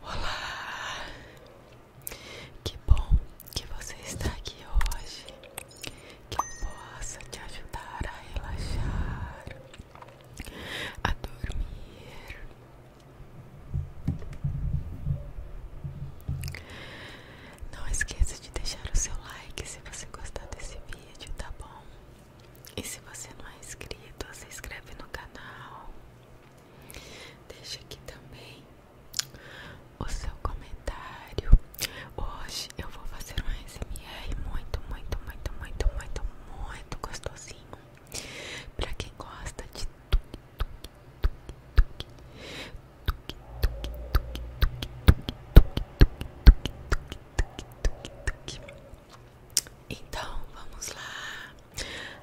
Olá, que bom que você está aqui hoje, que eu possa te ajudar a relaxar a dormir. Não esqueça de deixar o seu like se você gostar desse vídeo, tá bom? E se você não é inscrito, se inscreve no canal. Deixa aqui também o seu comentário. Hoje eu vou fazer um ASMR muito, muito, muito, muito, muito, muito gostosinho Pra quem gosta de tuque, tuque, tuque, tuque Então, vamos lá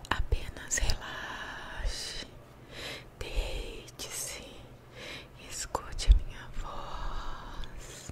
Apenas relaxe Deite-se Escute a minha voz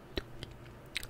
Relaxe, tuque, tuque,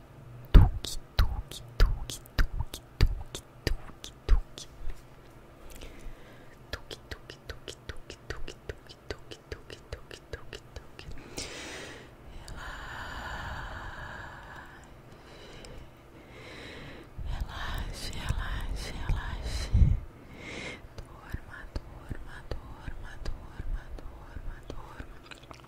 Tuque, tuque, tuque, tuque, tuque, tuque, tuque. Tuque, tuque, tuque, tuque, tuque, tuque, tuque, tuque, tuque, tuque, tuque. Relaxe, relaxe, relaxe. Dorma, dorma, dorma, dorma, dorma, dorma.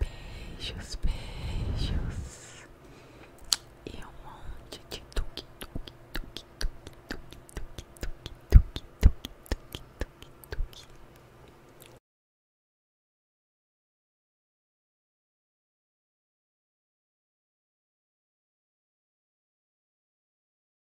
Beijos, beijos. E um monte de tuque, tuque, tuque, tuque, tuque, tuque, tuque, tuque, tuque, tuque, tuque, tuque.